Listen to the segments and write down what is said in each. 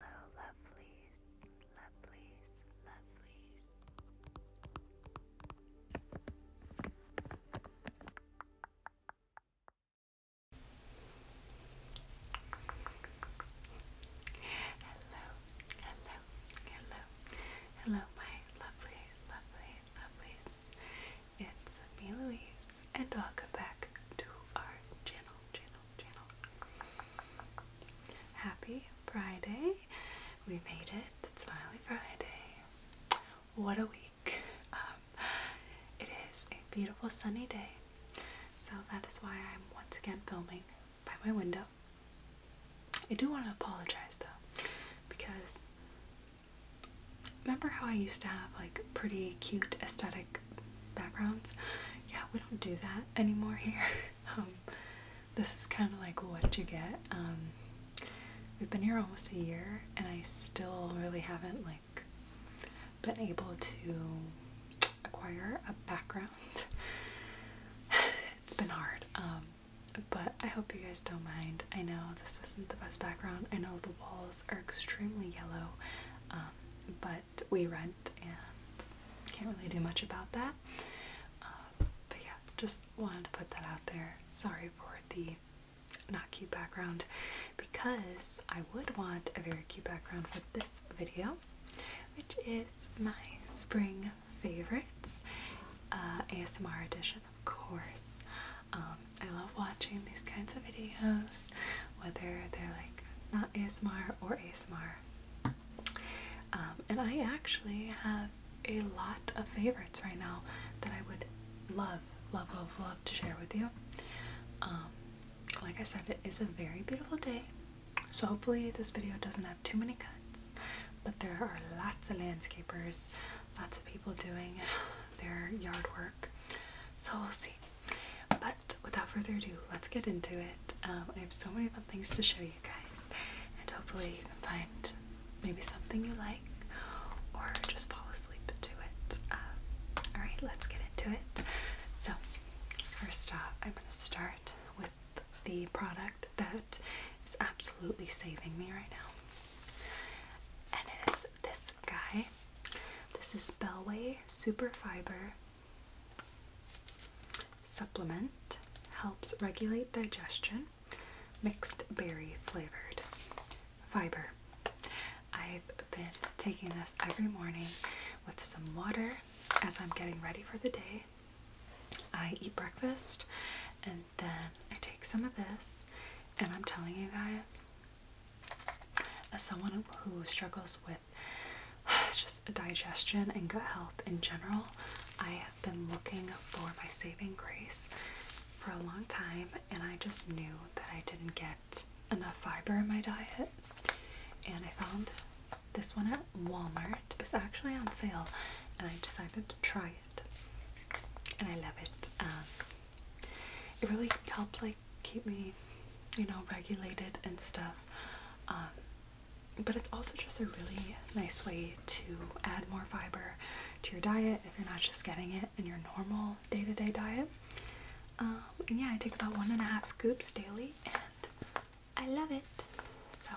Hello, oh, lovelies, lovelies, lovelies. Hello, hello, hello, hello, my lovely, lovely, lovelies. It's me, Louise, and welcome back to our channel, Happy Friday. We made it. It's finally Friday. What a week. Um, it is a beautiful sunny day. So that is why I'm once again filming by my window. I do want to apologize though because remember how I used to have like pretty cute aesthetic backgrounds. Yeah, we don't do that anymore here. Um, this is kind of like what you get. Um, we've been here almost a year, and I still really haven't like been able to acquire a background. it's been hard. Um, but I hope you guys don't mind. I know this isn't the best background. I know the walls are extremely yellow, but we rent and can't really do much about that. Um, but yeah, just wanted to put that out there. Sorry for the not cute background because I would want a very cute background for this video, which is my spring favorites uh, ASMR edition, of course. Um, I love watching these kinds of videos, whether they're like not ASMR or ASMR. Um, and I actually have a lot of favorites right now that I would love, love, love, love to share with you. Um, like I said, it is a very beautiful day, so hopefully this video doesn't have too many cuts. But there are lots of landscapers, lots of people doing their yard work. So we'll see. But without further ado, let's get into it. Um, I have so many fun things to show you guys, and hopefully, you can find maybe something you like or just fall asleep to it. Um, Alright, let's get into it. So, first off, I'm going to start with the product that is absolutely saving me right now. And it is this guy. This is Belway Super Fiber Supplement helps regulate digestion, mixed berry flavored. Fiber. I've been taking this every morning with some water as I'm getting ready for the day. I eat breakfast and then I take some of this, and I'm telling you guys, as someone who struggles with just digestion and gut health in general. I have been looking for my saving grace for a long time, and I just knew that I didn't get enough fiber in my diet. And I found this one at Walmart. It was actually on sale, and I decided to try it. And I love it. Um, it really helps, like keep me, you know, regulated and stuff. Um, but it's also just a really nice way to add more fiber to your diet if you're not just getting it in your normal day to day diet. Um, yeah, I take about one and a half scoops daily and I love it. So,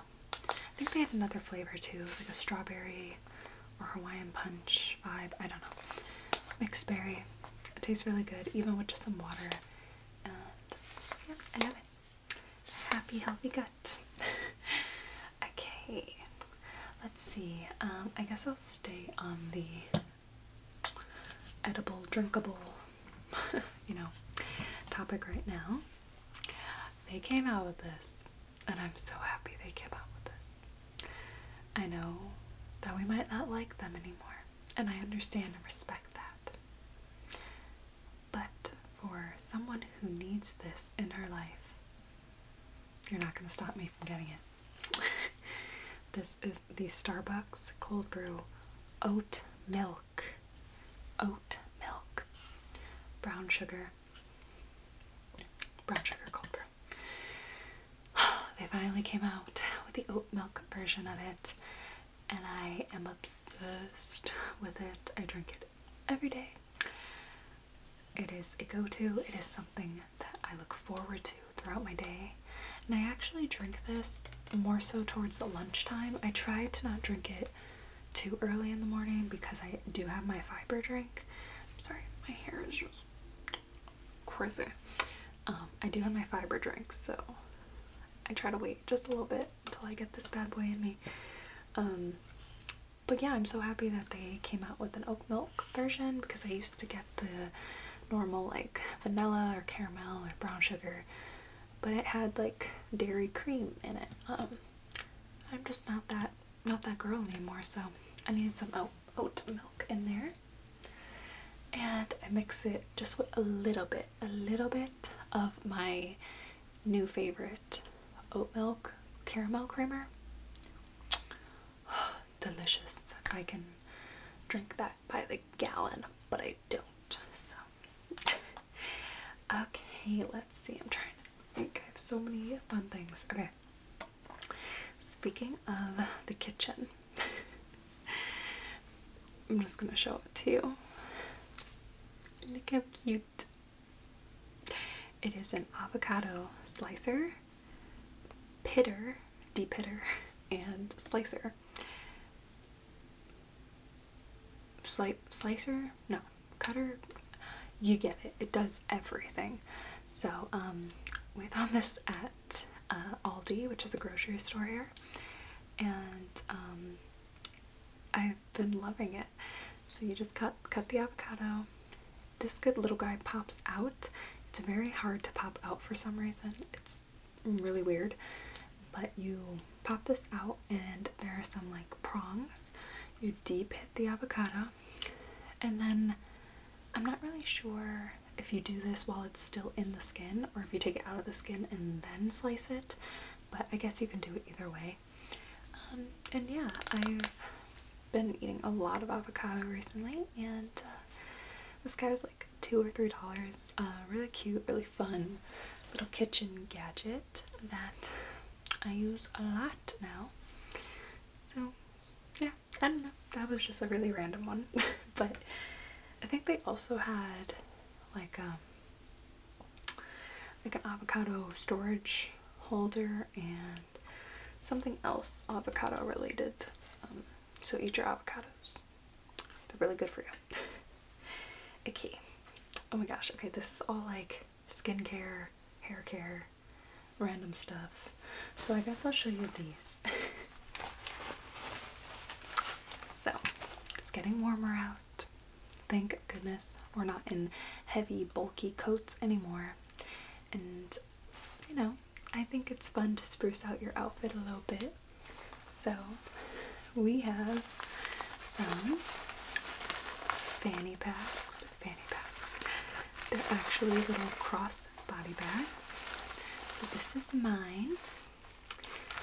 I think they have another flavor too. It like a strawberry or Hawaiian punch vibe. I don't know. Mixed berry. It tastes really good, even with just some water. Uh, yeah, I have it. Happy, healthy gut. okay, let's see. Um, I guess I'll stay on the edible, drinkable, you know, topic right now. They came out with this, and I'm so happy they came out with this. I know that we might not like them anymore and I understand and respect that. But for someone who needs this in her life, you're not going to stop me from getting it. this is the Starbucks cold brew oat milk. Oat milk. Brown sugar. Brown sugar cold brew. they finally came out with the oat milk version of it and I am obsessed with it. I drink it every day. It is a go-to. It is something that I look forward to throughout my day. And I actually drink this more so towards lunchtime. I try to not drink it too early in the morning because I do have my fiber drink. I'm sorry, my hair is just crazy. Um, I do have my fiber drink, so I try to wait just a little bit until I get this bad boy in me. Um, but yeah, I'm so happy that they came out with an oat milk version because I used to get the normal like vanilla or caramel or brown sugar, but it had like dairy cream in it. Um, I'm just not that not that girl anymore, so I needed some oat, oat milk in there and I mix it just with a little bit, a little bit of my new favorite oat milk caramel creamer. Delicious. I can drink that by the gallon, but I don't. So, okay, let's see. I'm trying to think. I have so many fun things. Okay. Speaking of the kitchen, I'm just gonna show it to you. Look how cute. It is an avocado slicer, pitter, deep pitter, and slicer. Sli slicer? No, cutter? You get it. It does everything. So, um, we found this at uh, Aldi, which is a grocery store here, and um, I've been loving it. So you just cut cut the avocado. This good little guy pops out. It's very hard to pop out for some reason. It's really weird, but you pop this out, and there are some like prongs. You deep hit the avocado, and then I'm not really sure if you do this while it's still in the skin or if you take it out of the skin and then slice it, but I guess you can do it either way. Um, and yeah, I've been eating a lot of avocado recently and uh, this guy was like two or three dollars. Uh, really cute, really fun little kitchen gadget that I use a lot now. So yeah, I don't know that was just a really random one. but I think they also had like um like an avocado storage holder and something else avocado related. Um, so eat your avocados. They're really good for you. okay. Oh my gosh. Okay, this is all like skincare, hair care, random stuff. So I guess I'll show you these. So it's getting warmer out. Thank goodness we're not in heavy, bulky coats anymore. And you know, I think it's fun to spruce out your outfit a little bit. So we have some fanny packs. Fanny packs. They're actually little crosses body bags. So this is mine.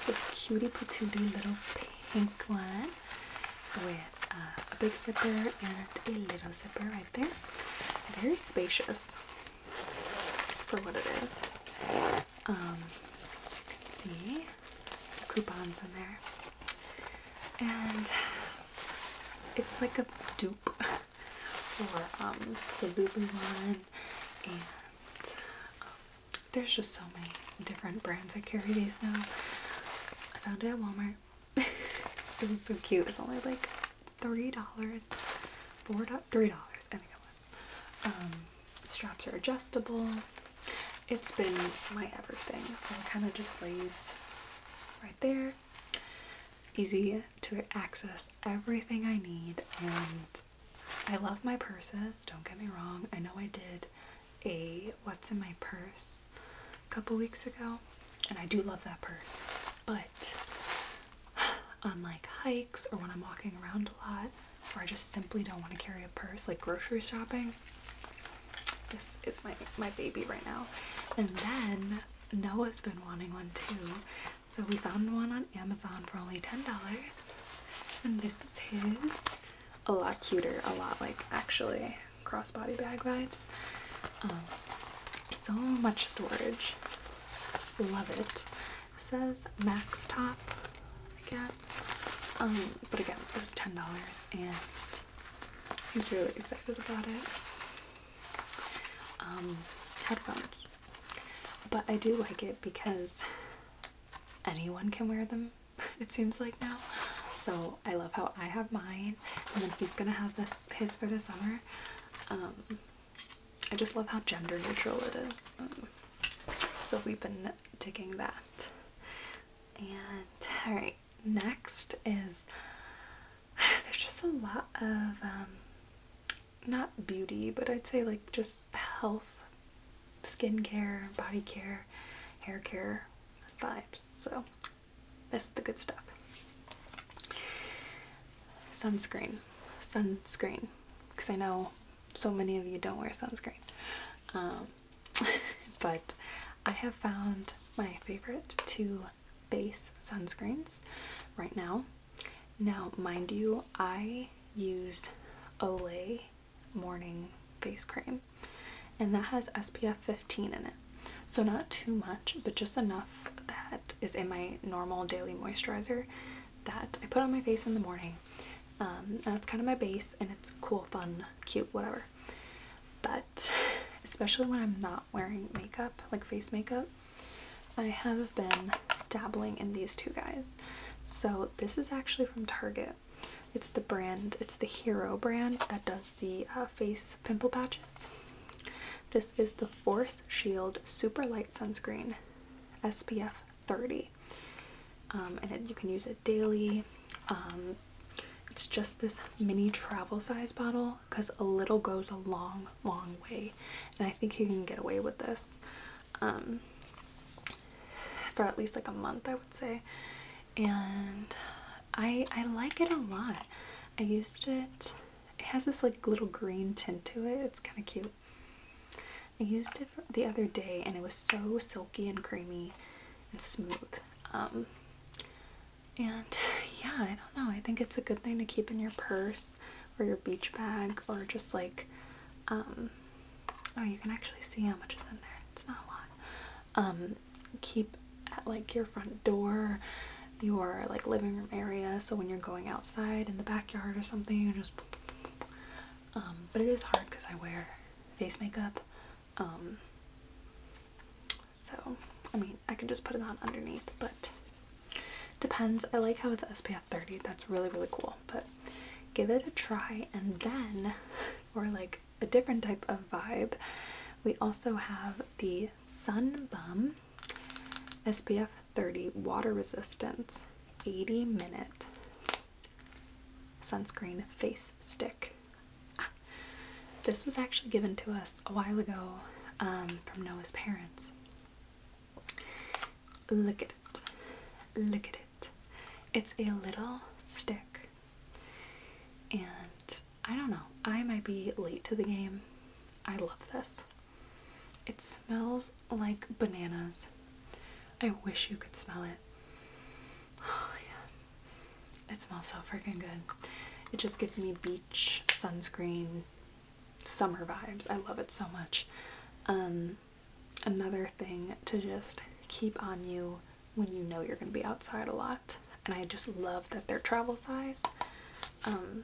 This cutie patootie little pink one with uh, a big zipper and a little zipper right there. Very spacious for what it is. Um, you can see, coupons in there. And it's like a dupe for um, the Lulu one and um, there's just so many different brands I carry these now. I found it at Walmart. It's so cute. It's only like $3. Four dollars, three dollars, I think it was. Um, straps are adjustable. It's been my everything, so I kind of just lays right there. Easy to access everything I need, and I love my purses, don't get me wrong. I know I did a What's in My Purse a couple weeks ago, and I do love that purse. But on like hikes or when I'm walking around a lot, or I just simply don't want to carry a purse, like grocery shopping, this is my, my baby right now. And then Noah's been wanting one too, so we found one on Amazon for only $10. And this is his. A lot cuter, a lot like actually crossbody bag vibes. Um, so much storage. Love it. Says Max Top, I guess. Um, but again, it was $10 and he's really excited about it. Um, headphones. But I do like it because anyone can wear them, it seems like now. So I love how I have mine, and then he's gonna have this his for the summer. Um, I just love how gender neutral it is. Um, so we've been digging that. And alright, next is there's just a lot of um, not beauty, but I'd say like just health, skin care, body care, hair care vibes. So that's the good stuff. Sunscreen, sunscreen, because I know so many of you don't wear sunscreen. Um, but I have found my favorite two base sunscreens right now. Now, mind you, I use Olay morning face cream and that has SPF 15 in it. So not too much, but just enough that is in my normal daily moisturizer that I put on my face in the morning. Um, that's kind of my base and it's cool, fun, cute, whatever. But especially when I'm not wearing makeup, like face makeup, I have been dabbling in these two guys. So this is actually from Target. It's the brand, it's the Hero brand that does the uh, face pimple patches. This is the Force Shield Super Light Sunscreen SPF 30. Um, and you can use it daily. Um, it's just this mini travel size bottle because a little goes a long long way, and I think you can get away with this um, for at least like a month, I would say. And I I like it a lot. I used it. It has this like little green tint to it. It's kind of cute. I used it the other day, and it was so silky and creamy and smooth. Um, and yeah, I don't know. I think it's a good thing to keep in your purse or your beach bag or just like um, oh you can actually see how much is in there it's not a lot um, keep at like your front door your like living room area so when you're going outside in the backyard or something you just um, but it is hard because i wear face makeup so i mean i can just put it on underneath but Depends. I like how it's SPF 30. That's really, really cool. But give it a try and then, or like a different type of vibe, we also have the Sun Bum SPF 30 Water Resistance 80 Minute Sunscreen Face Stick. Ah, this was actually given to us a while ago um, from Noah's parents. Look at it. Look at it. It's a little stick. And I don't know, I might be late to the game. I love this. It smells like bananas. I wish you could smell it. Oh, it smells so freaking good. It just gives me beach, sunscreen, summer vibes. I love it so much. Um, another thing to just keep on you when you know you're going to be outside a lot. And I just love that they're travel size. Um,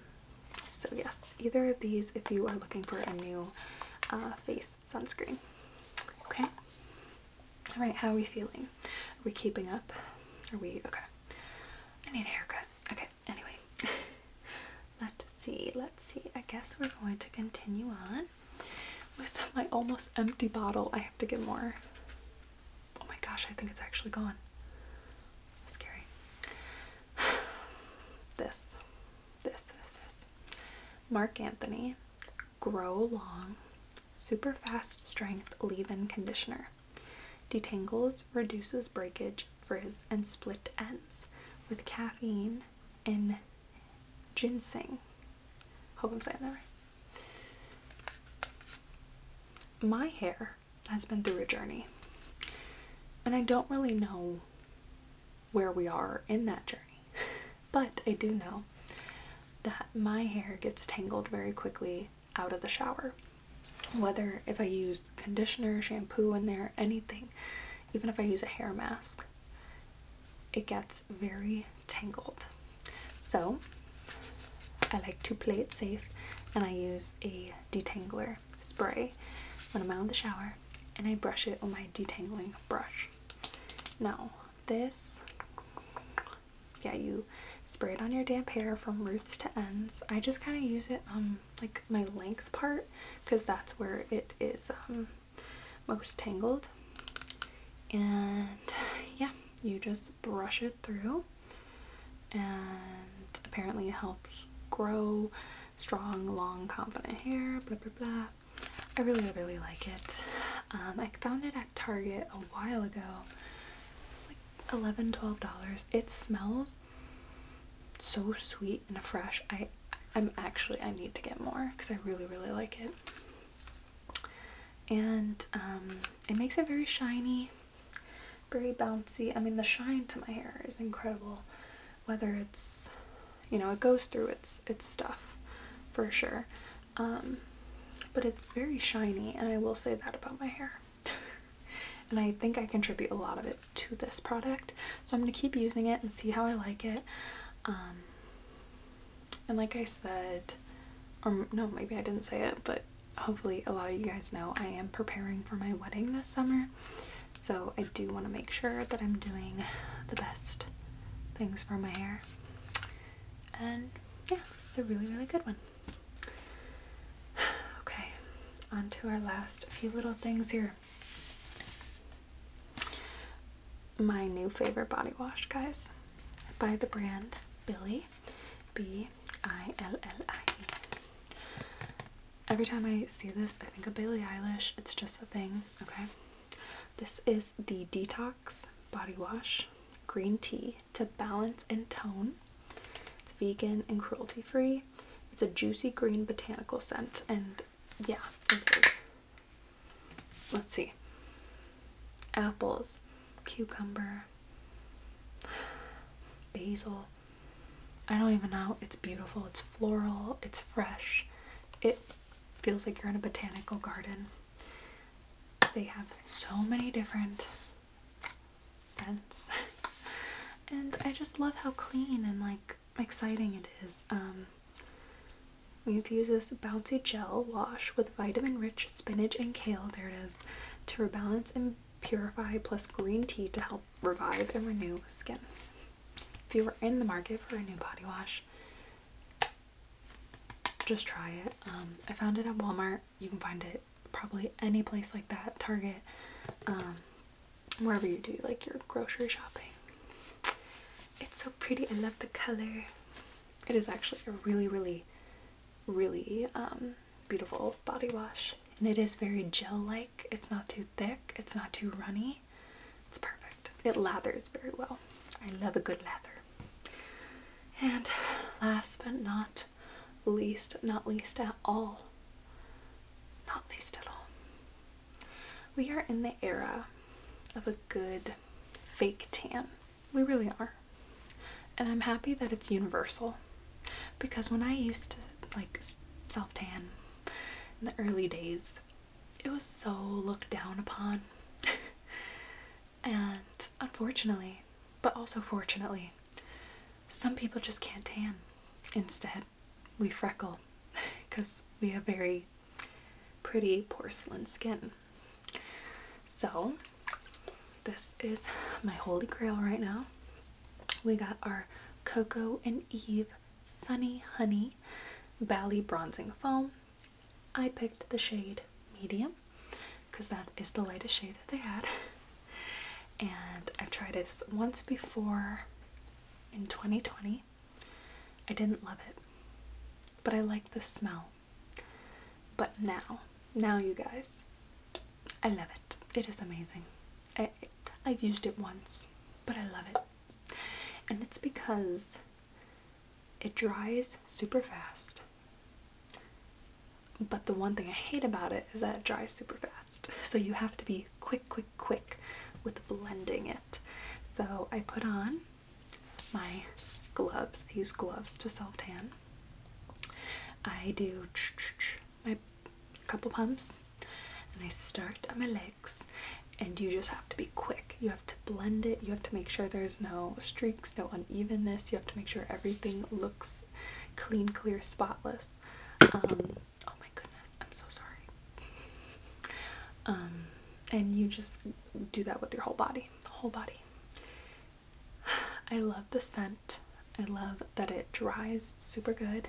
so yes, either of these if you are looking for a new uh, face sunscreen. Okay. All right, how are we feeling? Are we keeping up? Are we, okay. I need a haircut. Okay, Anyway, let's see, let's see. I guess we're going to continue on with my almost empty bottle. I have to get more. Oh my gosh, I think it's actually gone. Scary. this, this, this, Mark Anthony Grow Long Super Fast Strength Leave In Conditioner. Detangles, reduces breakage, frizz, and split ends with caffeine and ginseng. Hope I'm saying that right. My hair has been through a journey, and I don't really know where we are in that journey, but I do know that my hair gets tangled very quickly out of the shower whether if I use conditioner, shampoo in there, anything, even if I use a hair mask, it gets very tangled. So I like to play it safe and I use a detangler spray when I'm out in the shower and I brush it with my detangling brush. Now this, yeah, you spray it on your damp hair from roots to ends. I just kind of use it on um, like my length part because that's where it is um, most tangled and yeah you just brush it through and apparently it helps grow strong long confident hair blah blah blah I really really like it um, I found it at Target a while ago like 11 12 dollars it smells so sweet and fresh. I I'm actually I need to get more because I really really like it. And um, it makes it very shiny, very bouncy. I mean the shine to my hair is incredible. Whether it's you know it goes through its its stuff for sure. Um, but it's very shiny and I will say that about my hair. and I think I contribute a lot of it to this product. So I'm going to keep using it and see how I like it. Um, and like I said, or no, maybe I didn't say it, but hopefully a lot of you guys know I am preparing for my wedding this summer. So I do want to make sure that I'm doing the best things for my hair. And yeah, it's a really, really good one. Okay, on to our last few little things here. My new favorite body wash, guys, by the brand Billy B I L L I. Every time I see this, I think of Billie Eilish. It's just a thing, okay? This is the Detox Body Wash Green Tea to Balance and Tone. It's vegan and cruelty free. It's a juicy green botanical scent, and yeah, it is. Let's see. Apples, cucumber, basil. I don't even know. It's beautiful. It's floral. It's fresh. It feels like you're in a botanical garden. They have so many different sense. and I just love how clean and like exciting it is. Um, we infuse this bouncy gel wash with vitamin-rich spinach and kale, there it is, to rebalance and purify plus green tea to help revive and renew skin. If you are in the market for a new body wash, just try it. Um, I found it at Walmart. You can find it probably any place like that, Target, um, wherever you do like your grocery shopping. It's so pretty. I love the color. It is actually a really, really, really um, beautiful body wash. And it is very gel-like. It's not too thick. It's not too runny. It's perfect. It lathers very well. I love a good lather. And last but not least, not least at all. Not least at all. We are in the era of a good fake tan. We really are. And I'm happy that it's universal because when I used to like self tan in the early days, it was so looked down upon. and unfortunately, but also fortunately, some people just can't tan. Instead, we freckle because we have very pretty porcelain skin. So, this is my holy grail right now. We got our Coco and Eve Sunny Honey Bali Bronzing Foam. I picked the shade medium because that is the lightest shade that they had and I've tried this once before in 2020. I didn't love it, but I like the smell. But now, now you guys, I love it. It is amazing. I, I've used it once, but I love it. And it's because it dries super fast. But the one thing I hate about it is that it dries super fast. So you have to be quick, quick, quick with blending it. So I put on my gloves. I use gloves to self tan. I do my couple pumps and I start on my legs and you just have to be quick. You have to blend it. You have to make sure there's no streaks, no unevenness. You have to make sure everything looks clean, clear, spotless. Um, oh my goodness, I'm so sorry. Um, and you just do that with your whole body, the whole body. I love the scent. I love that it dries super good.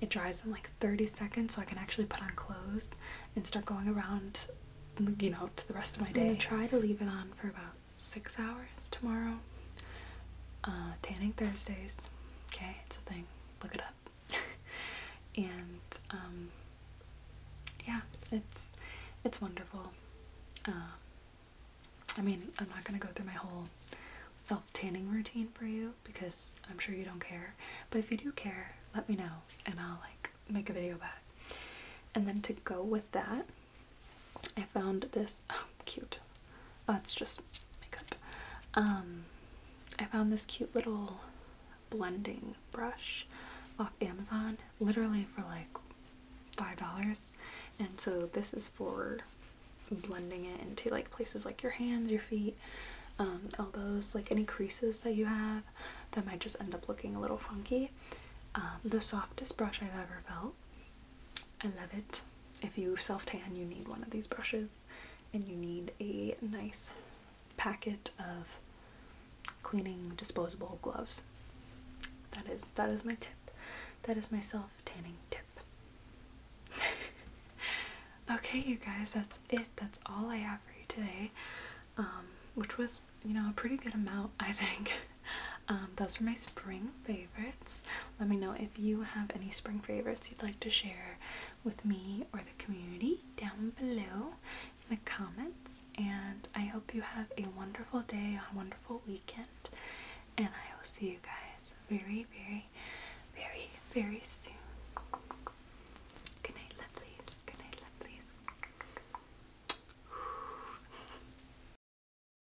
It dries in like 30 seconds so I can actually put on clothes and start going around, you know, to the rest of my day. i try to leave it on for about six hours tomorrow. Uh, tanning Thursdays. Okay, it's a thing. Look it up. and um, yeah, it's it's wonderful. Uh, I mean, I'm not gonna go through my whole self tanning routine for you because I'm sure you don't care. But if you do care, let me know and I'll like make a video about it. And then to go with that, I found this oh, cute. That's just makeup. Um, I found this cute little blending brush off Amazon, literally for like five dollars. And so this is for blending it into like places like your hands, your feet, um, elbows, like any creases that you have that might just end up looking a little funky. Um, the softest brush I've ever felt. I love it. If you self tan, you need one of these brushes and you need a nice packet of cleaning disposable gloves. That is that is my tip. That is my self tanning tip. okay, you guys, that's it. That's all I have for you today. Um, which was, you know, a pretty good amount, I think. Um, those are my spring favorites. Let me know if you have any spring favorites you'd like to share with me or the community down below in the comments. And I hope you have a wonderful day, a wonderful weekend, and I will see you guys very, very, very, very soon. Good night, lovelies. Good night, lovelies.